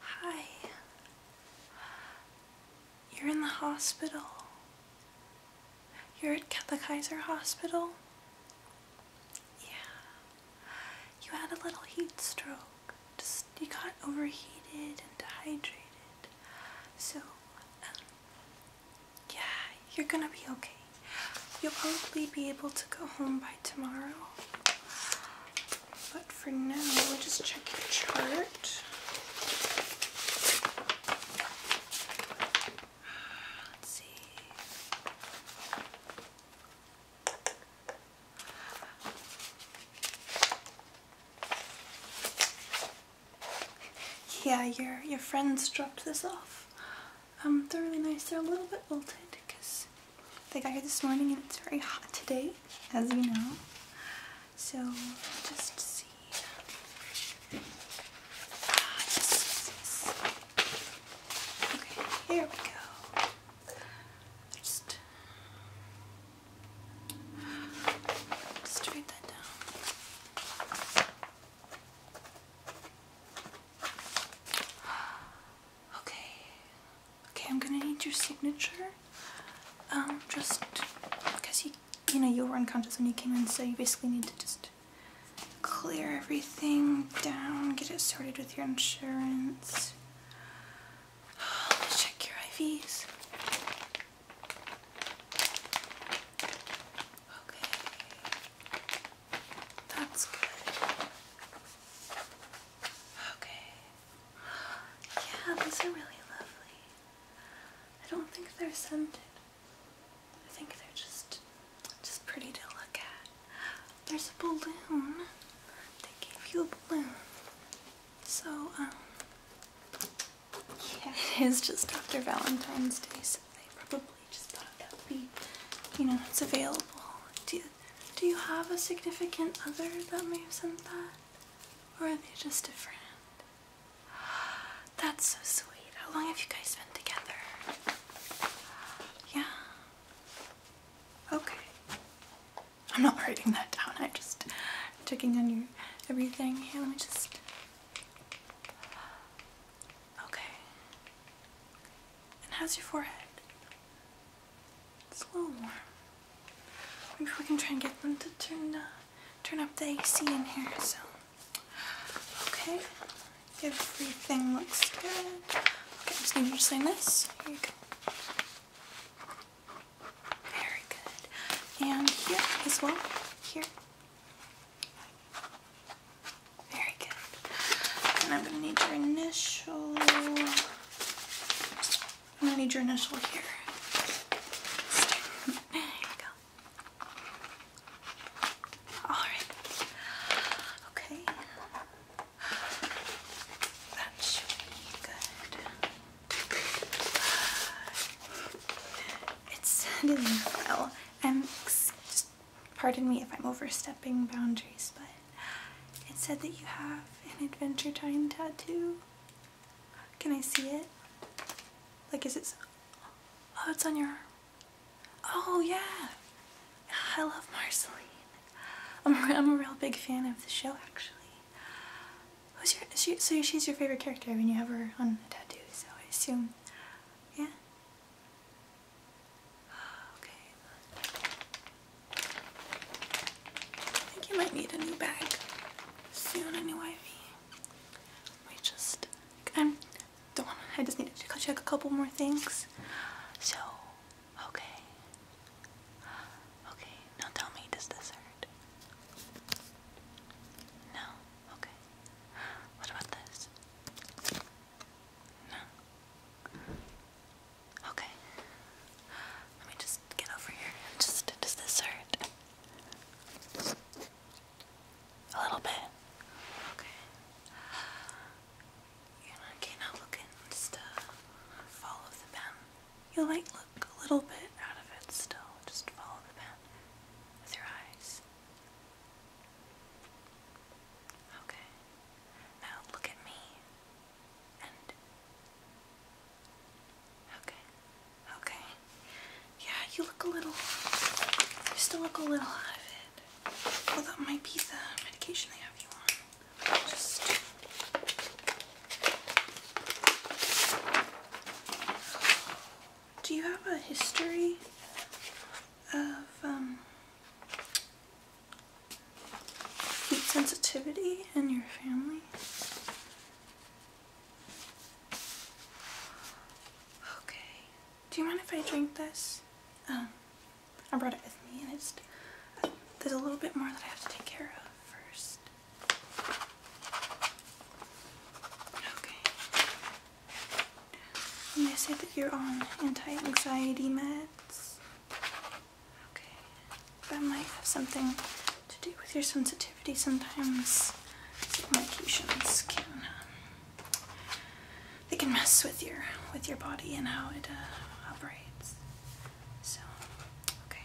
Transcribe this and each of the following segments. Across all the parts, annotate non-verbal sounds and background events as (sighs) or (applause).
Hi. You're in the hospital. You're at the Kaiser Hospital? Yeah. You had a little heat stroke. Just, you got overheated and dehydrated. So, um, yeah, you're gonna be okay. You'll probably be able to go home by tomorrow. But for now, we'll just check your chart. Let's see. Yeah, your your friends dropped this off. Um, they're really nice. They're a little bit wilted because they got here this morning and it's very hot today, as you know. So just see. Ah, okay, here we go. Just, just that down. Okay. Okay, I'm gonna need your signature. Um, just because you, you know, you were unconscious when you came in, so you basically need to just clear everything down, get it sorted with your insurance. Let me check your IVs. Okay. That's good. Okay. Yeah, these are really lovely. I don't think they're scented. I think they're just just pretty to look at. There's a balloon. They gave you a balloon. So, um yeah, (laughs) it is just after Valentine's Day, so they probably randomly just popped up. We, you know, it's available. Do you, do you have a significant other that may have sent that? Or are they just a friend? (gasps) That's so sweet. How long have you guys been together? Yeah. Okay. I'm not writing that down. I'm just checking on your everything. Here, let me just. Okay. And how's your forehead? It's a little warm. Maybe we can try and get them to turn uh, up the AC in here. So, okay, everything looks good. i just going to sign this. Here you go. Very good. And here as well. Here. Very good. And I'm going to need your initial. i need your initial here. (laughs) there you go. Alright. Okay. That should be good. It's sending well. I'm pardon me if I'm overstepping boundaries, but it said that you have an Adventure Time tattoo. Can I see it? Like, is it? Oh, it's on your Oh, yeah. I love Marceline. I'm, I'm a real big fan of the show, actually. Who's your, so she's your favorite character I mean, you have her on a tattoo, so I assume. Yeah. Ah, okay. I think you might need a new bag soon, a We just, I'm, don't to I just needed to check a couple more things. So, okay. Okay, now tell me, does this hurt? No? Okay. What about this? No. Okay. Let me just get over here. Just does this hurt? A little bit. Okay. You know, okay, now look and just follow the pen. You like look a little bit out of it still. Just follow the pen with your eyes. Okay. Now look at me. Okay. Okay. Yeah, you look a little. You still look a little out of it. Well, that might medication they have you on. Just. Do you have a history of um, heat sensitivity in your family? Okay. Do you mind if I drink this? Um, I brought it with me and there's a little bit more that I have to take care of first. Okay. And they say that you're on anti-anxiety meds. Okay, that might have something to do with your sensitivity. Sometimes medications can um, they can mess with your with your body and how it uh, operates. So, okay,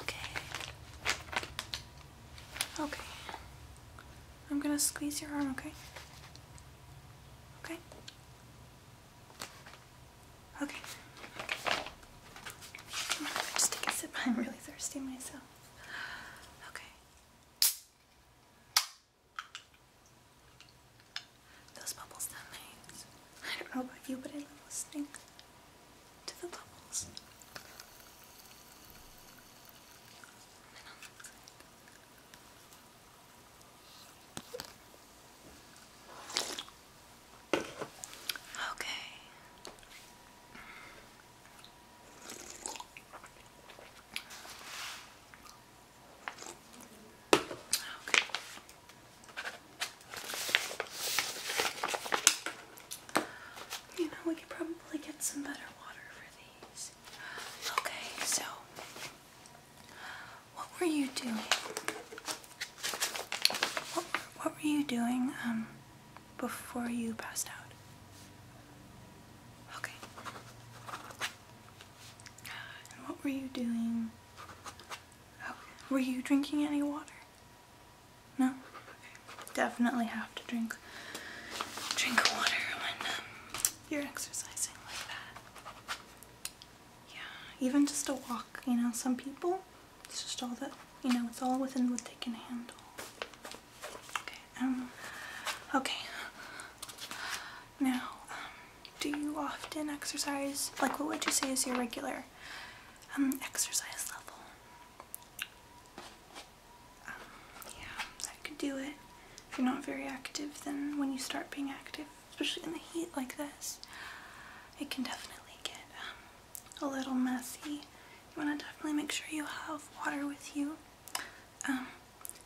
okay, okay. I'm gonna squeeze your arm, okay? Okay? Okay. I just take a sip. (laughs) I'm really thirsty myself. Okay. Those bubbles sound nice. I don't know about you, but I love listening to the bubbles. Okay. Okay. You know, we could probably get some better water for these. Okay, so what were you doing? What, were you doing um, before you passed out? Okay. what were you doing? Oh, were you drinking any water? No? Definitely have to drink drink water when um, you're exercising like that. Yeah, even just a walk. You know, some people, it's just all that you know. It's all within what they can handle. Okay. Um. Okay. Now, um, do you often exercise? Like, what would you say is your regular um exercise level? yeah, that could do it. If you're not very active, then when you start being active, especially in the heat like this, it can definitely get um, a little messy. You want to definitely make sure you have water with you, um,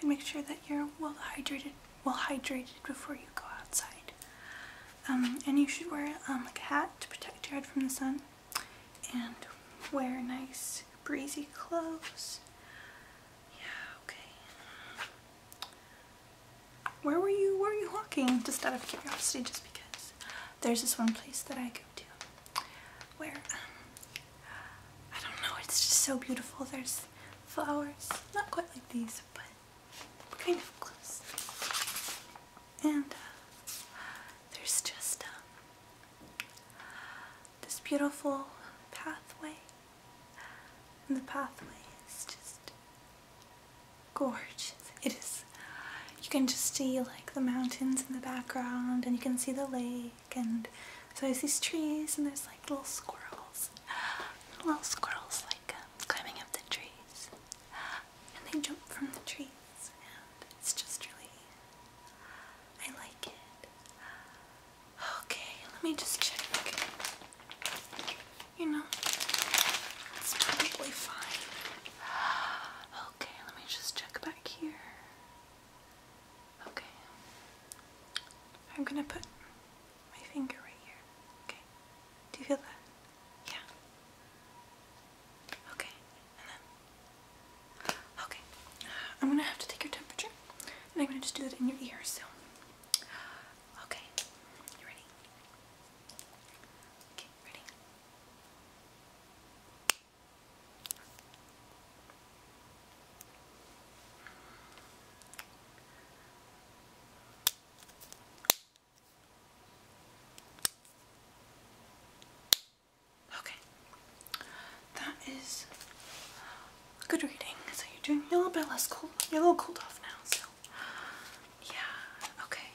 and make sure that you're well hydrated, well hydrated before you go outside. Um, and you should wear a hat to protect your head from the sun and wear nice breezy clothes. Yeah, okay. Where were you, where were you walking? Just out of curiosity, just because there's this one place that I go to where, um, I don't know, it's just so beautiful. There's flowers, not quite like these, but kind of close. And uh, there's just um, this beautiful pathway. And the pathway is just gorgeous. It is. You can just see like the mountains in the background and you can see the lake and so there's these trees and there's like little squirrels. Little squirrels like um, climbing up the trees and they jump from the trees and it's just really I like it. Okay, let me just check. You know, it's probably fine. Okay, let me just check back here. Okay. I'm gonna put my finger right here. Okay. Do you feel that? Yeah. Okay, Okay, I'm gonna have to take your temperature and I'm gonna just do that in your ear, so. Okay, you ready? Okay, ready? Okay. That is good reading. So you're doing a little bit less cold. You're a little cooled off now. So yeah. Okay.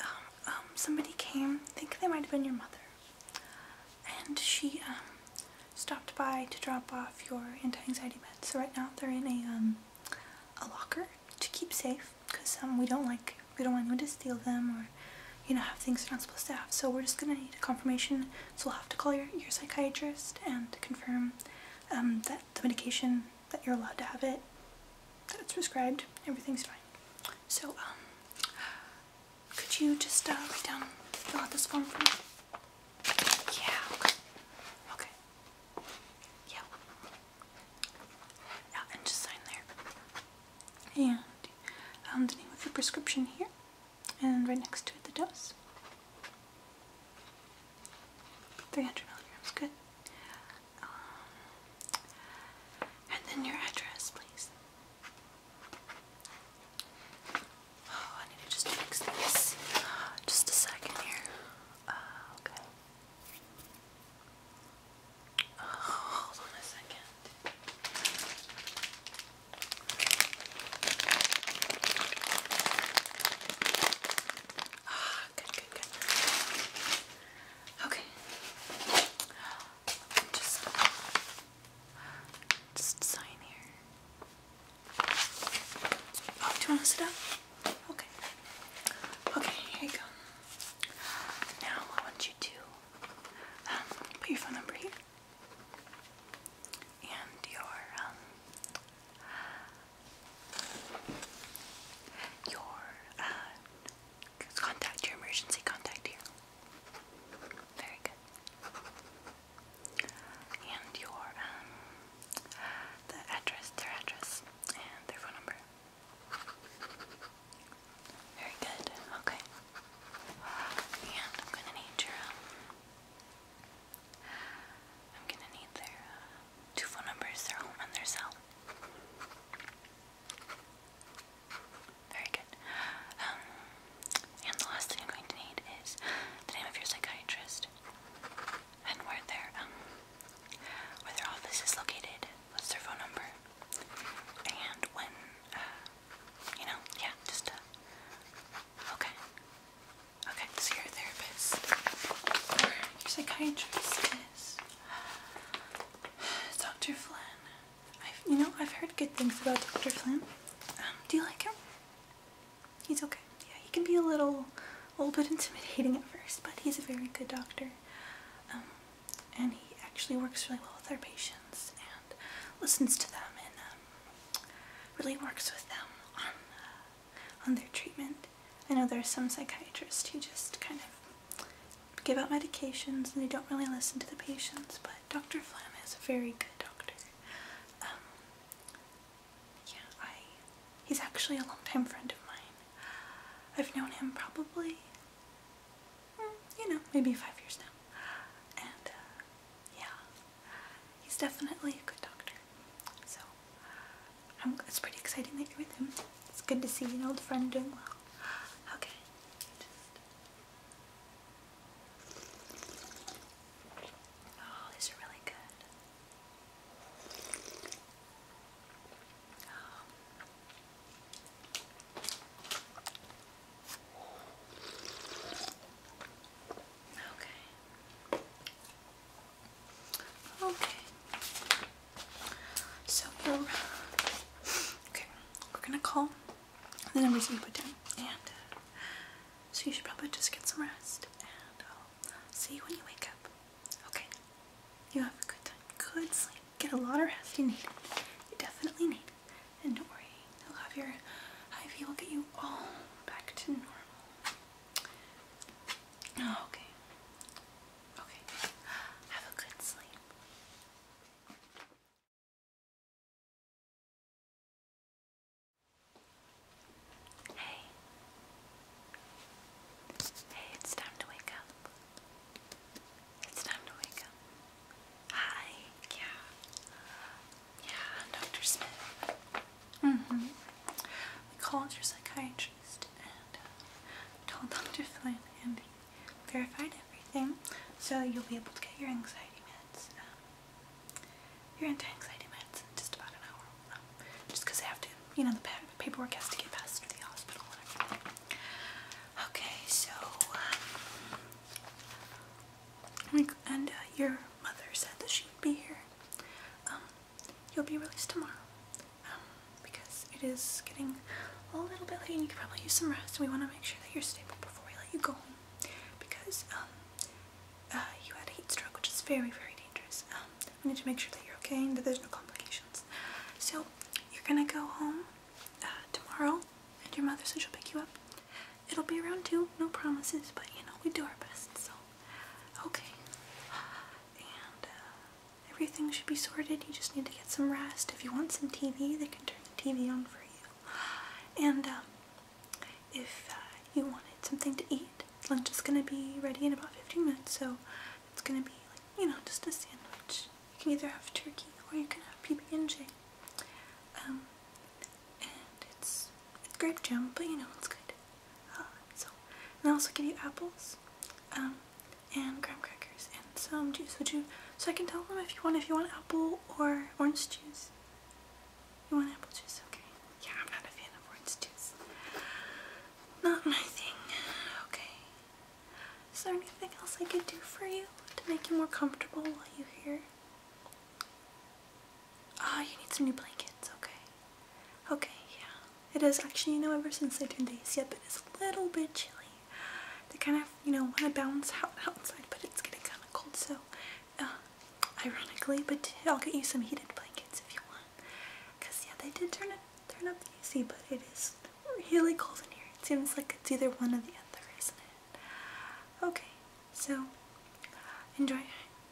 Um, um somebody came. think they might have been your mother. And she um, stopped by to drop off your anti-anxiety meds. So right now they're in a um a locker to keep safe because um, we don't like we don't want anyone to steal them or you know have things they're not supposed to have so we're just gonna need a confirmation so we'll have to call your, your psychiatrist and confirm um, that the medication that you're allowed to have it that it's prescribed everything's fine so um, could you just uh, down fill out this form for me yeah okay okay yeah yeah and just sign there and um, the name of the prescription here, and right next to it the dose. 300 milligrams, good. Um, and then your address, please. Oh, I need to just fix this. Just a second here. Uh, okay hold on a second. Ah, good, good, good. Okay. Just, just sign here. Oh, do you want to sit up? Okay. Okay, here you go. Now I want you to um, put your phone number here and your um, your uh, contact your emergency contact here. Very good. And your um, the address, their address, and their phone number. Very good. Okay. And I'm gonna need your um, I'm gonna need their uh, two phone numbers, their home and their cell. Very good. Um, and the last thing I'm going to need is the name of your psychiatrist and where their um where their office is located what's their phone number, and when, uh, you know, yeah, just, uh, okay, okay, so your therapist, your psychiatrist is (sighs) Dr. Flynn. I've, you know, I've heard good things about Dr. Flynn. Um, do you like him? He's okay. Yeah, he can be a little, a little bit intimidating at first, but he's a very good doctor. Um, and he actually works really well with our patients and listens to them and um, really works with them uh, on, their treatment. I know there are some psychiatrists who just kind of give out medications and they don't really listen to the patients, but Dr. Flem is a very good doctor. Um, yeah, I, he's actually a longtime friend of mine. I've known him probably Mm, you know, maybe five years now. And uh, yeah, he's definitely a good doctor. So it's pretty exciting that you're with him. It's good to see an old friend doing well. Okay. Oh, these really good. Oh. Okay. Okay. So we're okay. We're gonna call the numbers you put down, and uh, so you should probably just get some rest, and see you when you wake up. Okay. You have a good time. Good sleep. Get a lot of rest. You need it. You definitely need it. And don't worry, you'll have your IV will get you all back to normal. Oh, okay. Okay. Have a good sleep. Hey. Hey, it's time to wake up. It's time to wake up. Hi. Yeah. Yeah, I'm Dr. Smith. Mm-hmm. We called your psychiatrist and uh, told Dr. Flynn and he verified everything so you'll be able to get your anxiety meds. Um, your anti-anxiety meds in just about an hour. Um, just because I have to you know, the paperwork has to get passed through the hospital Okay, so, um, and uh, your mother said that she would be here. Um, you'll be released tomorrow, um, because it is getting a little bit late and you can probably use some rest. We want to make sure that you're stable before we let you go home, because, um, uh, you had a heat stroke, which is very, very dangerous. we need to make sure that you're okay and that there's no complications. So you're gonna go home uh, tomorrow and your mother says she'll pick you up. It'll be around two, no promises, but you know, we do our best, so okay. And uh, everything should be sorted. You just need to get some rest. If you want some TV, they can turn the TV on for you. And um, if uh, you wanted something to eat, lunch is gonna be ready in about 15 minutes, so it's gonna be like, you know, just a sandwich you can either have turkey or you can have PB&J. Um, and it's, it's grape jam, but you know it's good. Uh, so, and I also give you apples, um, and graham crackers and some juice. Would you? So I can tell them if you want if you want apple or orange juice. You want apple juice, okay? Yeah, I'm not a fan of orange juice. Not my thing. Okay. Is there anything else I could do for you to make you more comfortable while you're here? Ah, oh, you need some new blankets, okay. Okay, yeah. It is actually, you know, ever since I turned the AC but it is a little bit chilly. They kind of, you know, want to bounce out (laughs) outside, but it's getting kind of cold, so, uh, ironically, but I'll get you some heated blankets if you want. Cause yeah, they did turn it turn up the AC, but it is really cold in here. It seems like it's either one or the other, isn't it? Okay, so enjoy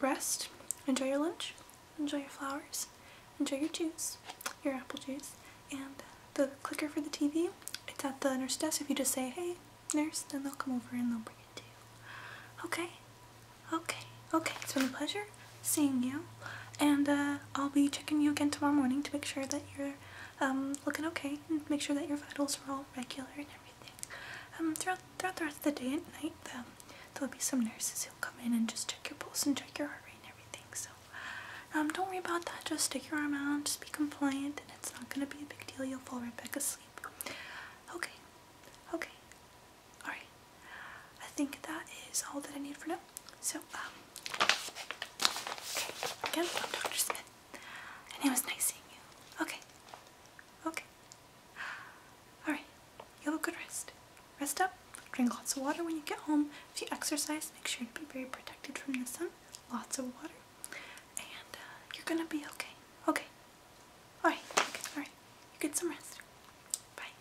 rest, enjoy your lunch, enjoy your flowers, enjoy your juice, your apple juice, and the clicker for the TV. It's at the nurse desk. If you just say, hey, nurse, then they'll come over and they'll bring it to you. Okay? Okay. Okay. It's been a pleasure seeing you, and uh, I'll be checking you again tomorrow morning to make sure that you're um, looking okay and make sure that your vitals are all regular and everything. Um, throughout, throughout the rest of the day and night, um, there'll be some nurses who'll come in and just check your pulse and check your heart rate and everything. So um, don't worry about that. Just stick your arm out. Just be compliant, and it's not going to be a big deal. You'll fall right back asleep. Okay. Okay. Alright. I think that is all that I need for now. So, um, again, Dr. Smith, and it was nice seeing you. Okay, okay. Alright, you have a good rest. Rest up, drink lots of water when you get home. If you exercise, make sure to be very protected from the sun. Lots of water. And uh, you're gonna be okay. Okay. Alright, alright. You get some rest. Bye.